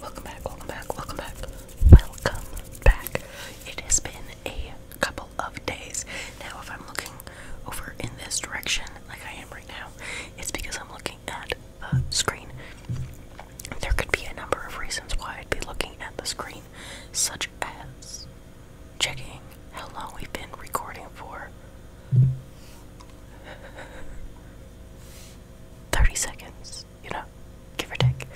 Welcome back, welcome back, welcome back, welcome back. It has been a couple of days. Now, if I'm looking over in this direction, like I am right now, it's because I'm looking at the screen. There could be a number of reasons why I'd be looking at the screen, such as checking how long we've been recording for. 30 seconds, you know, give or take.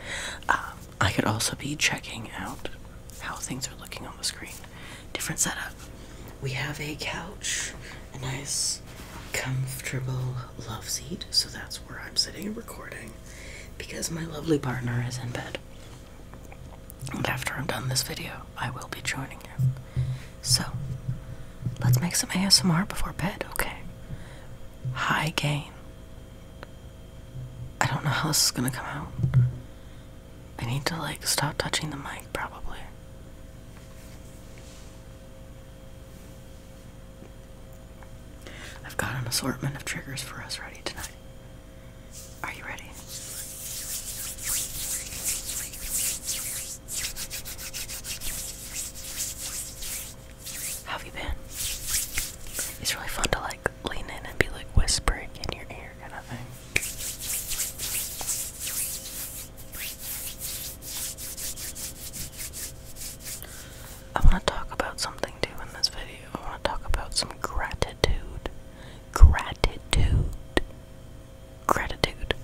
Um, I could also be checking out how things are looking on the screen. Different setup. We have a couch, a nice, comfortable love seat, so that's where I'm sitting and recording because my lovely partner is in bed. And after I'm done this video, I will be joining you. So, let's make some ASMR before bed, okay? High gain. I don't know how this is gonna come out. I need to, like, stop touching the mic, probably. I've got an assortment of triggers for us ready tonight. Are you ready? have you been? It's really fun to like lean in and be like whispering in your ear kind of thing. I want to talk about something too in this video. I want to talk about some gratitude. Gratitude gratitude.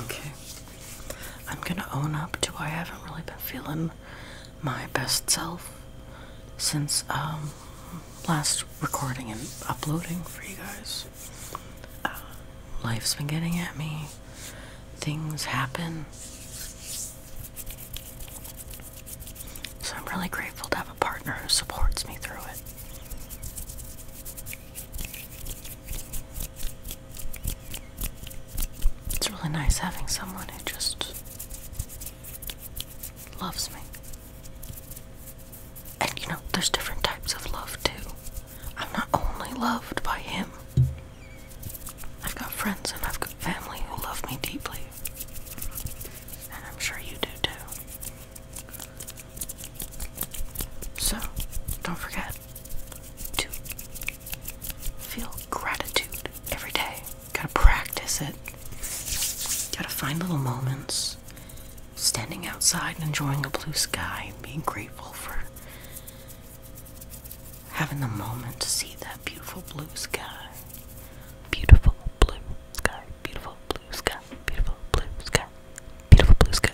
Okay. I'm gonna own up to I haven't really been feeling my best self since um, last recording and uploading for you guys. life's been getting at me, things happen. So I'm really grateful to have a partner who supports me through it. It's really nice having someone who just loves me. And you know, there's different types of love too. I'm not only loved by him, I've got friends and I've got family who love me deeply. And I'm sure you do too. So, don't forget to feel gratitude every day. Gotta practice it. Gotta find little moments. Standing outside and enjoying a blue sky and being grateful for having the moment to see that beautiful blue sky. Beautiful blue sky, beautiful blue sky, beautiful blue sky, beautiful blue sky.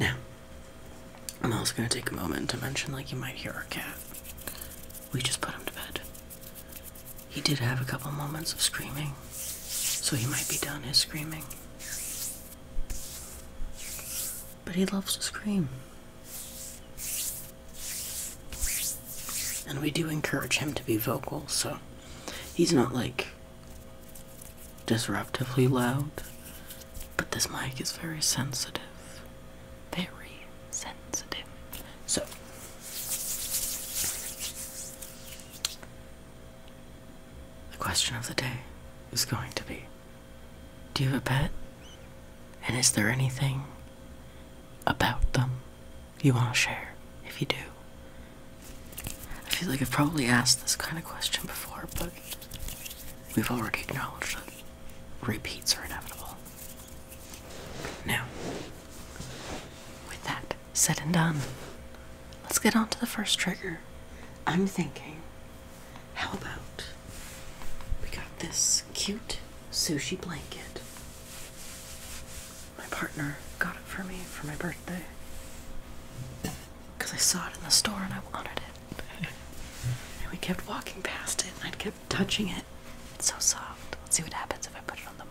Now, I'm also gonna take a moment to mention, like you might hear our cat. We just put him to bed. He did have a couple moments of screaming, so he might be done his screaming. But he loves to scream. And we do encourage him to be vocal, so he's not like disruptively loud, but this mic is very sensitive. Very sensitive. So, the question of the day is going to be Do you have a pet? And is there anything about them you want to share? If you do, I feel like I've probably asked this kind of question before, but we've already acknowledged that repeats are inevitable. Now, with that said and done, let's get on to the first trigger. I'm thinking, how about we got this cute sushi blanket? my partner got it for me for my birthday. Because I saw it in the store and I wanted it. and we kept walking past it and I kept touching it. It's so soft. Let's see what happens if I put it on the mic.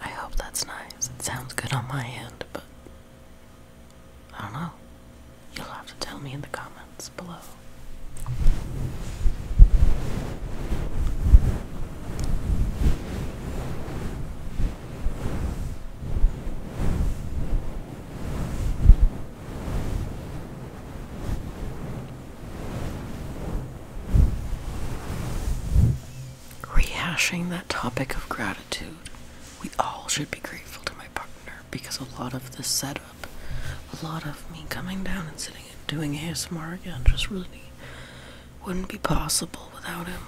I hope that's nice. It sounds good on my end, but I don't know. You'll have to tell me in the comments below. Rehashing that topic of gratitude, we all should be grateful to my partner because a lot of the setup, a lot of me coming down and sitting and doing ASMR again just really wouldn't be possible without him.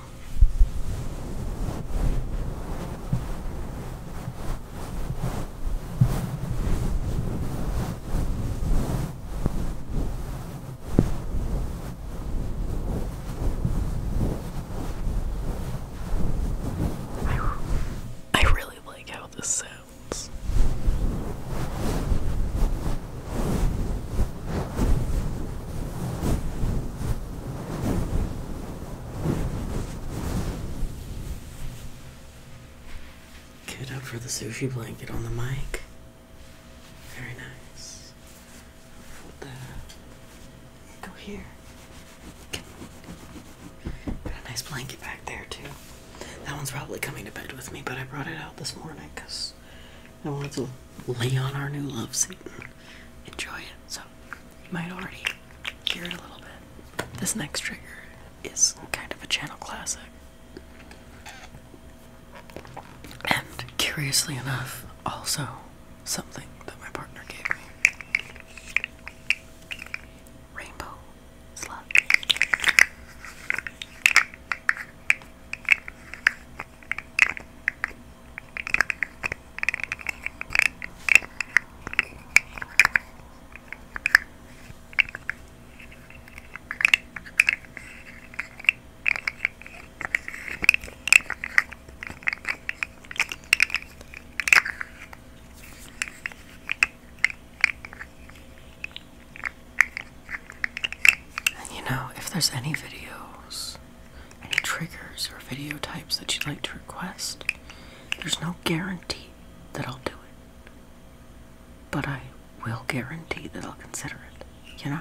I, really like how this sounds. Get up for the sushi blanket on the mic. Very nice. Fold that. Go here. Got a nice blanket back there too. That one's probably coming to bed with me, but I brought it out this morning because I wanted to lay on our new love seat and enjoy it. So you might already hear it a little bit. This next trigger is kind of a channel classic. And curiously enough, also something that my partner gave me rainbow slug. And you know, if there's any videos, any triggers or video types that you'd like to request, there's no guarantee that I'll do it. But I we will guarantee that I'll consider it, you know?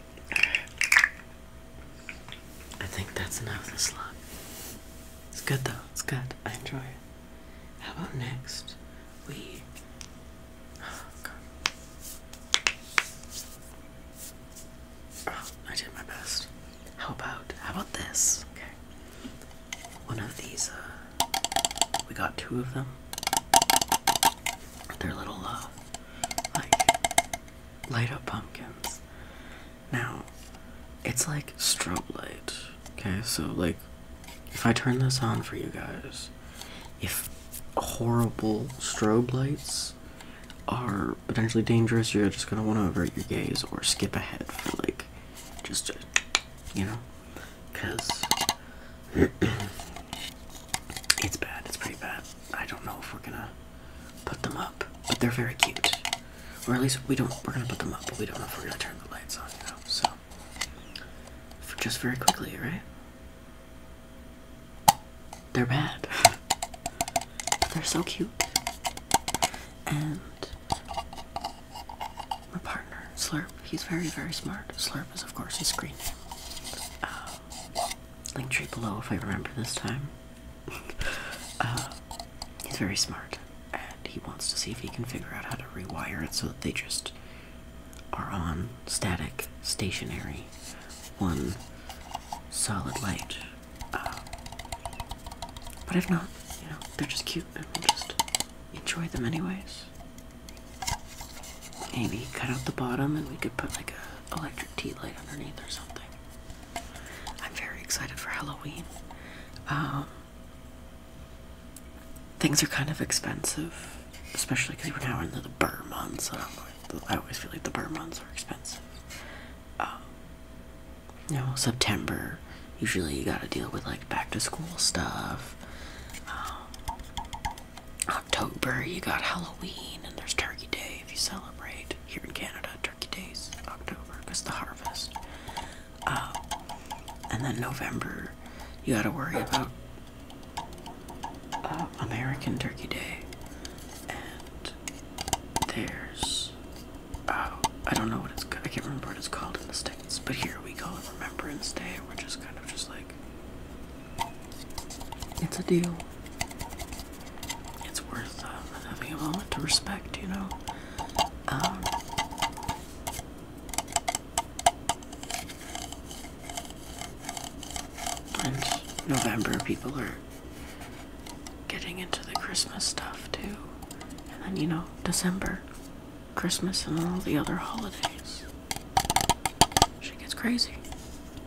I think that's enough of the slug. It's good though, it's good. I enjoy it. How about next? We. Oh, God. Oh, I did my best. How about, how about this? Okay. One of these, uh, we got two of them. They're little, uh, like light up pumpkins. Now, it's like strobe light. Okay, so like if I turn this on for you guys, if horrible strobe lights are potentially dangerous, you're just gonna want to avert your gaze or skip ahead for like just to, you know, because it's bad, it's pretty bad. I don't know if we're gonna put them up, but they're very cute. Or at least we don't. We're gonna put them up, but we don't know if we're gonna turn the lights on. You know, so just very quickly, right? They're bad. They're so cute. And my partner, Slurp, he's very, very smart. Slurp is, of course, his screen name. Um, link tree below if I remember this time. Uh, he's very smart, and he wants to see if he can figure out how to rewire it so that they just are on static, stationary, one solid light. Uh, but if not, you know, they're just cute and we'll just enjoy them anyways. Maybe cut out the bottom and we could put like a electric tea light underneath or something. I'm very excited for Halloween. Um, things are kind of expensive, especially because we're now into the burr months. I, always feel like the burr months are expensive. Um, you know, September, usually you gotta deal with like back to school stuff. Um, October, you got Halloween, and there's Turkey Day if you celebrate here in Canada. Turkey Day's October because the harvest. Um, and then November, you got to worry about uh, American Turkey Day. And there's, oh, I don't know what it's I can't remember what it's called in the States, but here we call it Remembrance Day. We're just kind of just like, it's a deal. It's worth uh, having a moment to respect, you know. Um, and November, people are getting into the Christmas stuff too. And then, you know, December, Christmas, and all the other holidays. She gets crazy.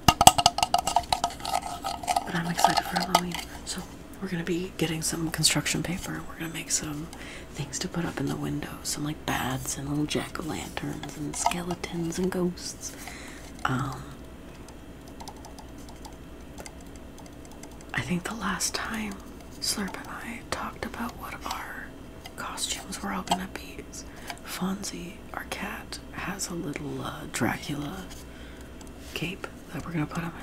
But I'm excited for Halloween. So we're gonna be getting some construction paper and we're gonna make some things to put up in the windows, some like bats and little jack-o'-lanterns and skeletons and ghosts. Um, I think the last time Slurp and I talked about what our costumes were all gonna be Fonzie, our cat, has a little uh, Dracula cape that we're gonna put him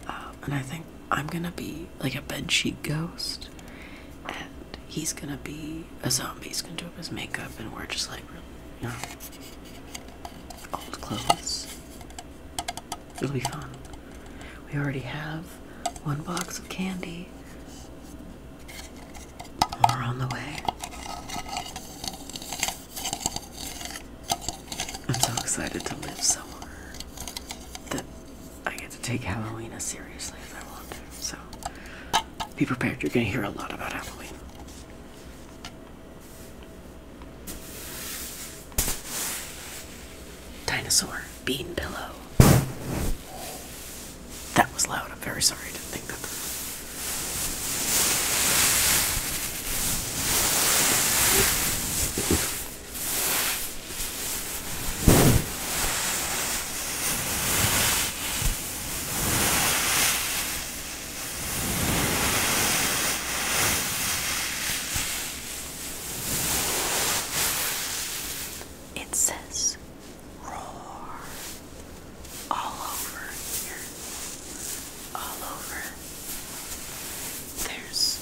in. Um, and I think I'm gonna be like a bedsheet ghost, and he's gonna be a zombie. He's gonna do up his makeup, and we're just like, really, old clothes. It'll be fun. We already have one box of candy. More on the way. I'm so excited to live somewhere that I get to take Halloween as seriously as I want to. So be prepared, you're going to hear a lot about Halloween. Dinosaur bean pillow. That was loud. I'm very sorry. I didn't think that. It says roar all over here. All over. There's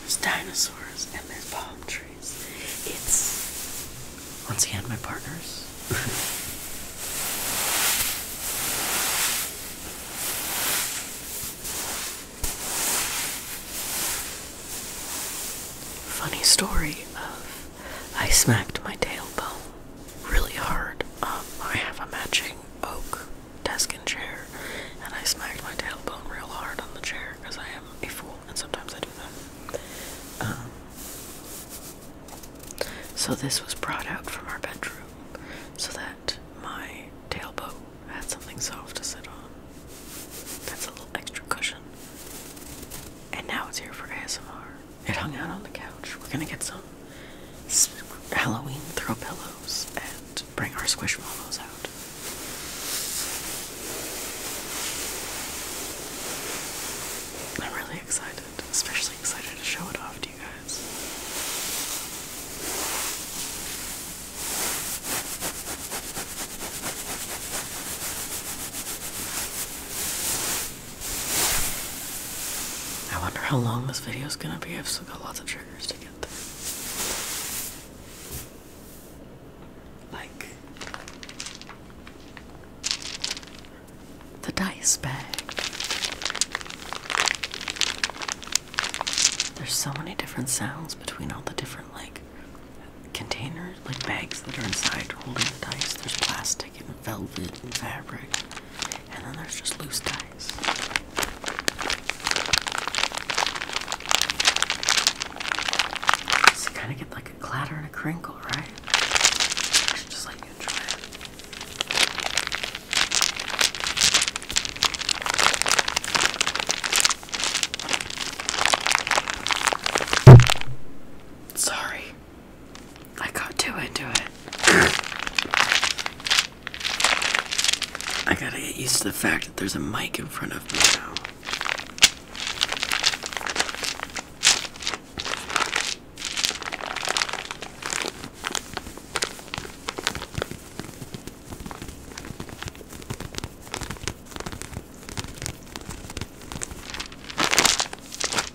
there's dinosaurs and there's palm trees. It's once again my partners. Funny story of I smacked my tailbone really hard. Um, I have a matching oak desk and chair, and I smacked my tailbone real hard on the chair because I am a fool, and sometimes I do that. Um, so this was brought out from our bedroom so that my tailbone had something soft to sit on. That's a little extra cushion. And now it's here for ASMR. It hung out on the couch. We're gonna get some Halloween throw pillows and bring our squishy pillows out. I'm really excited, especially excited to show it off to you guys. I wonder how long this video is going to be. I've still got lots of triggers to get through. Like the dice bag. There's so many different sounds between all the different, like, containers, like bags that are inside holding the dice. There's plastic and velvet and fabric, and then there's just loose dice. So you kind get like a clatter and a crinkle, right? just let you enjoy it. Sorry, I got too into it. I gotta get used to the fact that there's a mic in front of me now.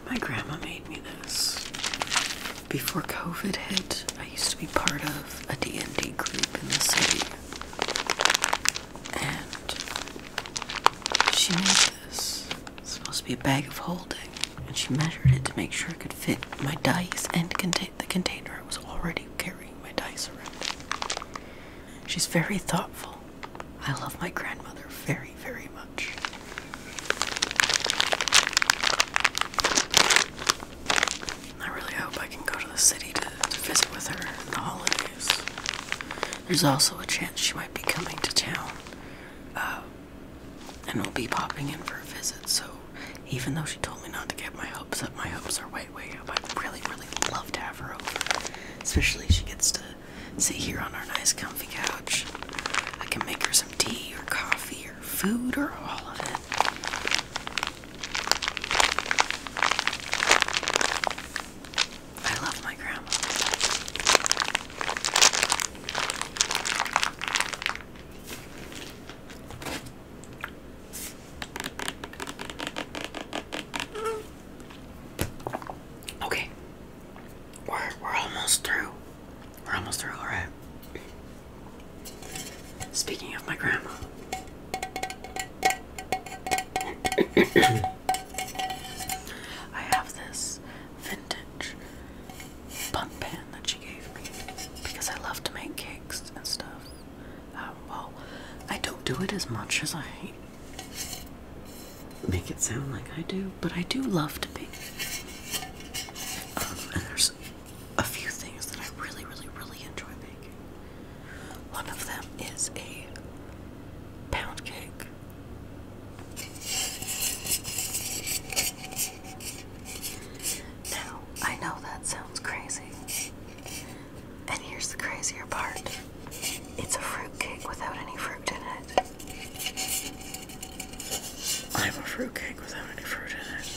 My grandma made me this. Before COVID hit, I used to be part of a D&D group in the city. And she made this. It's supposed to be a bag of holding. And she measured it to make sure it could fit my dice and contain the container. I was already carrying my dice around. She's very thoughtful I love my grandmother very, very much. I really hope I can go to the city to, visit with her in the holidays. There's also a chance she might be coming to town, uh, and will be popping in for a visit. So, even though she told me not to get my hopes up, my hopes are way i really, really love to have her over. Especially she gets to sit here on our nice comfy couch. I can make her some tea or coffee or food or all of it. I love my grandma. Mm. Okay. We're we're almost through. We're almost through, alright. Speaking of my grandma. I have this vintage pump pan that she gave me because I love to make cakes and stuff. Um, well, I don't do it as much as I make it sound like I do, but I do love to paint. Um, and there's a few things that I really, really, really enjoy making. One of them is a pound cake. Now, I know that sounds crazy, and here's the crazier part it's a fruitcake without any fruit in it. I'm a fruitcake without any fruit in it.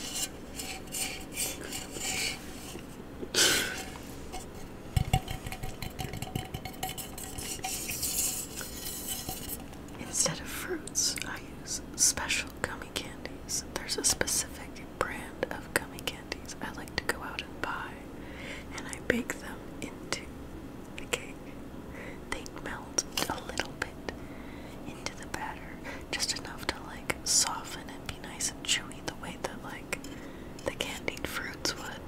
Instead of fruits, I use special gummy candies. There's a specific brand of gummy candies I like to go out and buy, and I bake them into the cake. They melt a little bit into the batter, just enough to like soften and be nice and chewy the way that like the candied fruits would.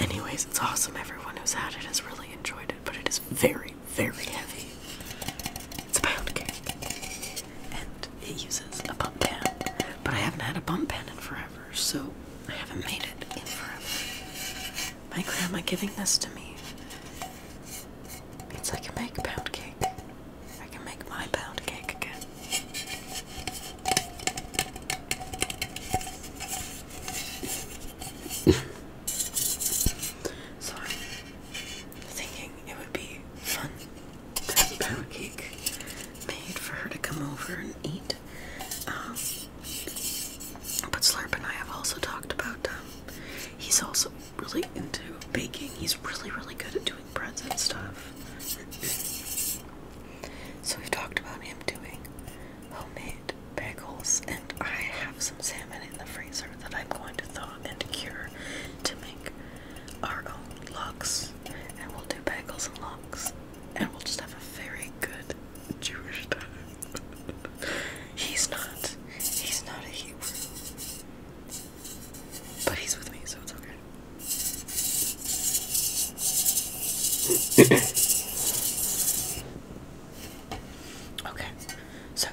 Anyways, it's awesome. Everyone who's had it has really enjoyed it, but it is very very heavy. It's a pound cake. And it uses a bump pan. But I haven't had a bump pan in forever, so I haven't made it in forever. My grandma giving this to me means I can make a pound cake. I can make my pound cake again. So I'm thinking it would be fun to have a cake made for her to come over and eat. Um, but Slurp and I have also talked about um, he's also really into baking. He's really, really good at doing breads and stuff. so we've talked about him doing homemade bagels, and I have some salmon in the freezer that I'm going to thaw Raw and Cure to make our locks. And we'll do bagels and locks. And we'll just have a very good Jewish time. he's not. He's not a Hebrew. But he's with me, so it's okay. okay, so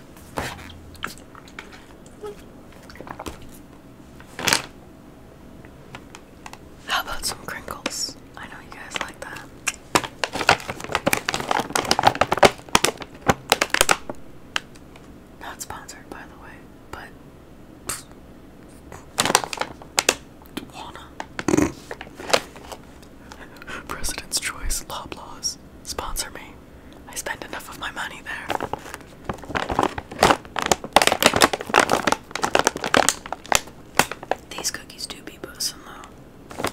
how about some crinkles? I know you guys like that. Not sponsored, by the way, but. want President's Choice Loblaws. Sponsor me. I spend enough of my money there. These cookies do be bosom though.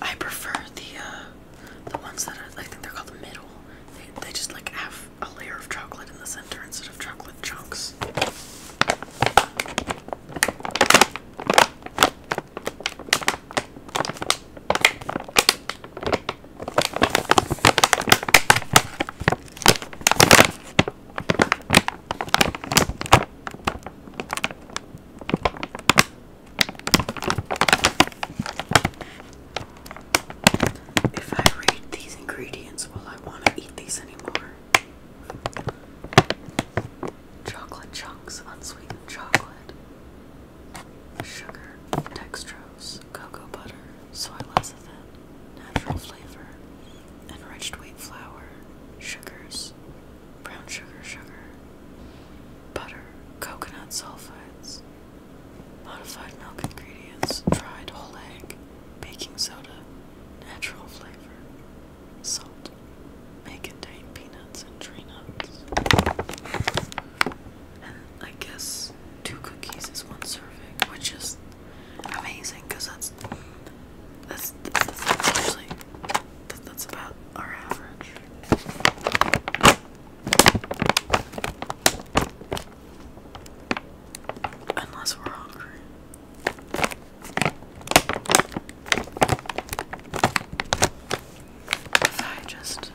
I prefer the uh, the ones that are, I think they're called the middle. they just like have a layer of chocolate in the center instead of chocolate chunks. If I read these ingredients, will I want to eat these anymore? chocolate chunks, unsweetened chocolate, sugar, dextrose, cocoa butter, soy lecithin, natural flavor, enriched wheat flour, sugars, brown sugar, sugar, butter, coconut sulfites, modified milk ingredients, dried whole egg, baking soda, natural flavor, salt may contain peanuts and tree nuts. And I guess two cookies is one serving, which is amazing because that's that's actually that's about our average. Unless we're hungry. If I just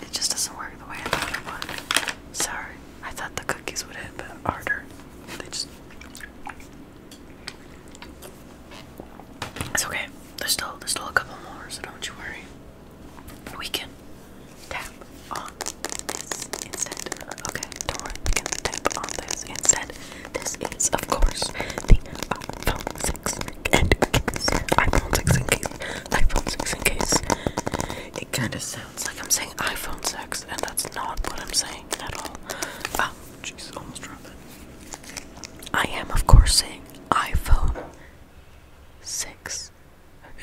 it just doesn't work the way I thought it would. Sorry, I thought the cookies would hit but harder. They just It's okay. There's still there's still a couple more, so don't you worry. We can tap on this instead. Okay, don't worry, we can tap on this instead. This is, of course, the iPhone 6 and case. iPhone 6 and case. iPhone 6 and case. It kind of sounds like I'm saying iPhone 6, and that's not what I'm saying at all. Oh, jeez, almost dropped it. I am, of course, saying iPhone 6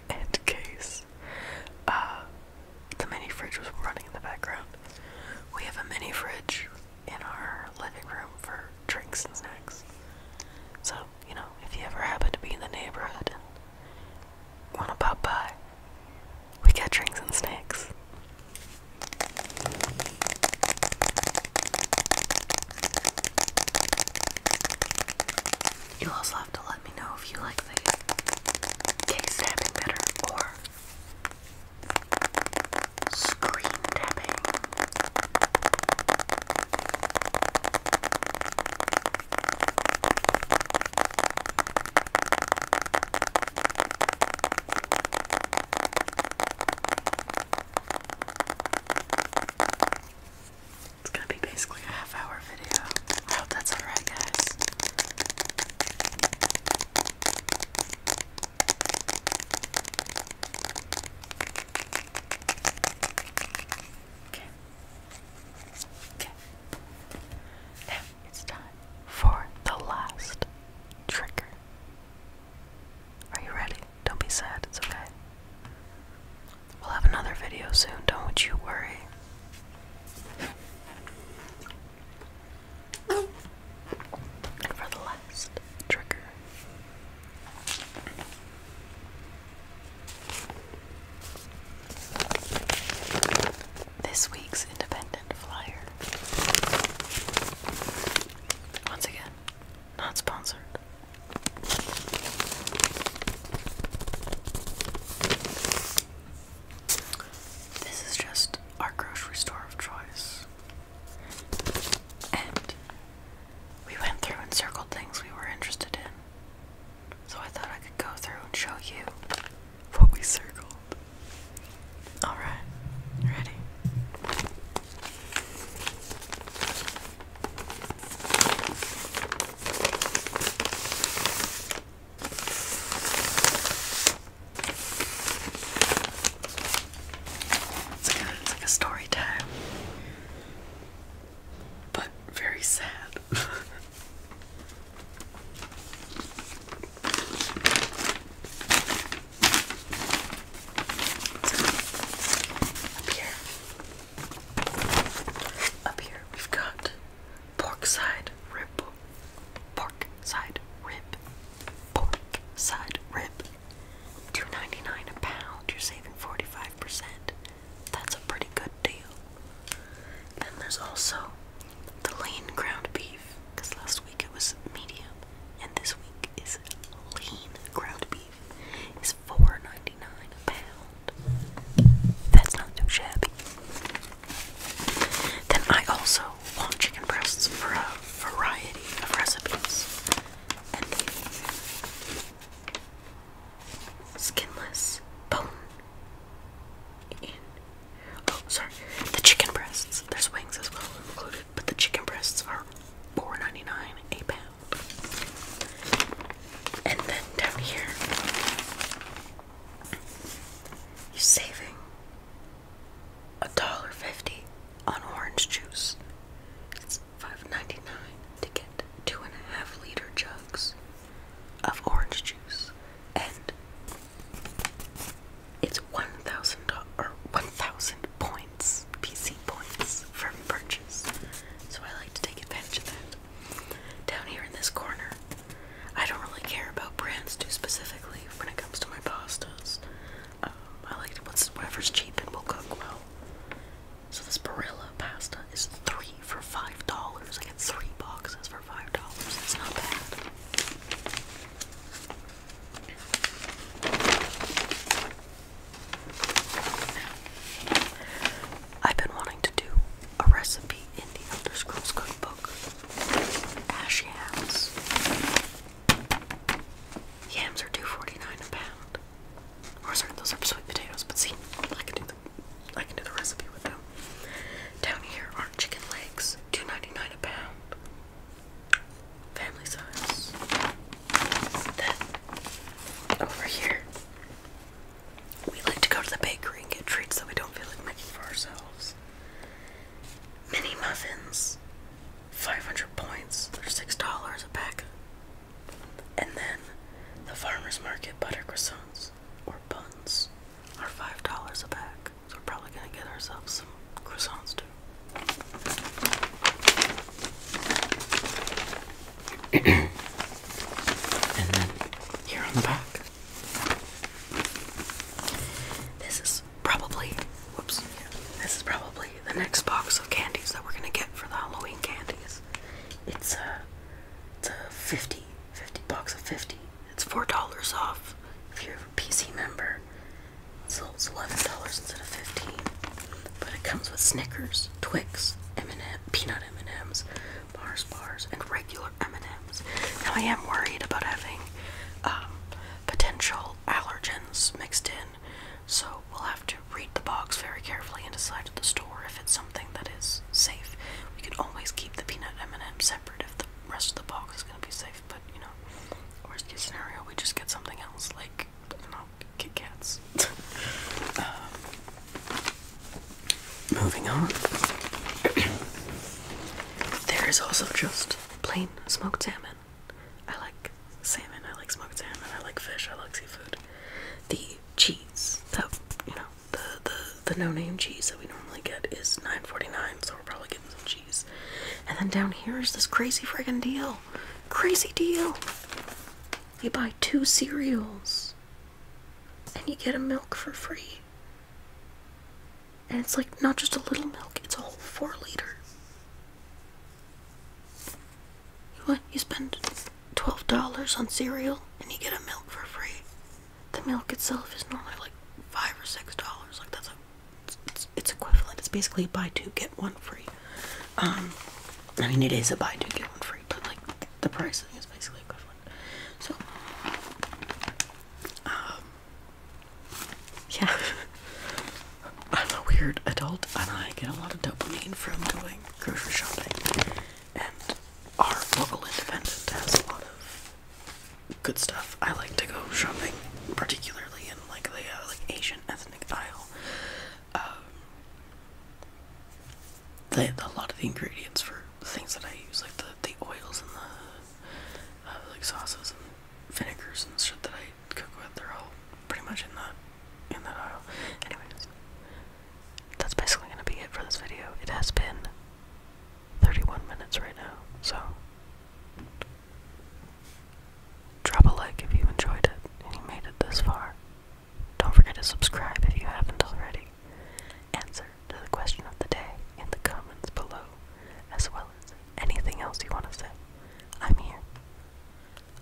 and case. Uh, the mini fridge was running in the background. We have a mini fridge in our living room for drinks and snacks. So, you know, if you ever happen to be in the neighborhood and want to pop by, we got drinks and snacks. you also have to let me know if you like the case tapping better or Screen tapping. It's going to be basically a half hour I hope that's alright, guys. Okay. Okay. Now it's time for the last trigger. Are you ready? Don't be sad, it's okay. We'll have another video soon, don't you worry for the last trigger. This week's independent flyer. Once again, not sponsored. This is just our grocery store of choice. And we went through and circled things we were interested in. So I thought I could go through and show you what we circled. Alright, ready? It's like a, story time, but very sad. Up here, up here, we've got pork side rib Pork side rib. Pork side rib. Two ninety nine a pound. You're saving forty five percent. That's a pretty good deal. Then there's also the lean ground beef, because last week it was medium, and this week is lean ground beef. It's four ninety nine a pound. That's not too shabby. Then I also want chicken breasts for a variety of recipes. And the skinless bone. In. Oh, sorry. The chicken breasts. There's wings as well included, but the chicken breasts are 4 a pound. And then down here, you're saving a dollar fifty on orange juice. It's five ninety nine to get two and a half liter jugs of orange juice, and it's one thousand or one thousand points, PC points from purchase. So I like to take advantage of that. Down here in this corner, I don't really care about brands too specifically when it comes to my pastas. Um, I like whatever's cheap and will cook well. So this Barilla pasta is three for five dollars. I get three boxes for five dollars. It's not bad. I've been wanting to do a recipe in the Elder Scrolls Cookbook. Ash yams. Yams are two forty nine a pound. Or sorry, those are sweet potatoes, but see, I can do the I can do the recipe with them. Down here are chicken legs, two ninety nine a pound. Family size. Then over here we like to go to the bakery and get treats that we don't feel like making for ourselves. Mini muffins, 500 points, they're $6 a pack. And then the farmer's market butter croissants or buns are $5 a pack. So we're probably going to get ourselves some croissants too. and then here on the back, this is probably whoops. This is probably the next box of candies that we're gonna get for the Halloween candies. It's a it's a 50 50 box of 50. It's four dollars off if you're a PC member. So it's eleven dollars instead of fifteen. But it comes with Snickers, Twix, M&M, peanut M&Ms, bars, bars, and regular regular M&Ms. Now I am worried about having um, potential allergens mixed in, so we'll have to read the box very carefully and decide at the store if it's something that is safe. We can always keep the peanut M&M separate if the rest of the box is going to be safe, but you know, worst case scenario, we just get something else like you know, Kit Kats. um, Moving on. there is also just plain smoked salmon. I like salmon, I like smoked salmon, I like fish, I like seafood. The cheese that you know, the the, the no-name cheese that we normally get is nine forty-nine. so we're probably getting some cheese. And then down here is this crazy friggin' deal. Crazy deal. You buy two cereals and you get a milk for free. And it's like not just a little milk, it's a whole four liter. What? You spend twelve dollars on cereal and you get a milk for free. The milk itself is normally like five or six dollars. Like that's it's, it's equivalent. It's basically buy two get one free. Um, I mean it is a buy two get one free, but like the pricing is basically equivalent. So, um, yeah, I'm a weird adult, and I get a lot of dopamine from doing grocery shopping. And our local independent has a lot of good stuff. I like to go shopping, particularly in like the uh, like Asian ethnic aisle. Um, a lot of the ingredients for things that I use, like the, the oils and the uh, like sauces and vinegars and shit that I cook with, they're all pretty much in that in that aisle. Anyways, that's basically gonna be it for this video. It has been 31 minutes right now, so drop a like if you enjoyed it and you made it this far. Don't forget to subscribe if you haven't already. Answer to the question of the day in the comments below, as well as anything else you want to say. I'm here.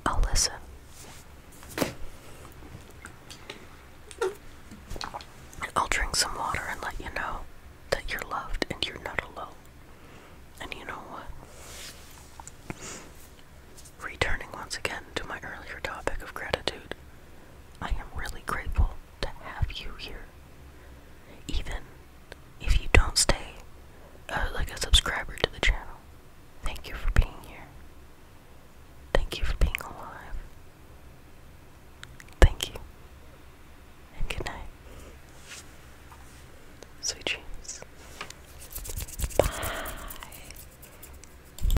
I'll listen. I'll drink some water and let you know that you're loved and you're not alone. And you know what? Returning once again to my earlier topic of gratitude, I am really grateful to have you here. Even if you don't stay uh, like a subscriber to the channel, thank you for being here. Thank you for being alive. Thank you. And good night. Sweet dreams. Bye.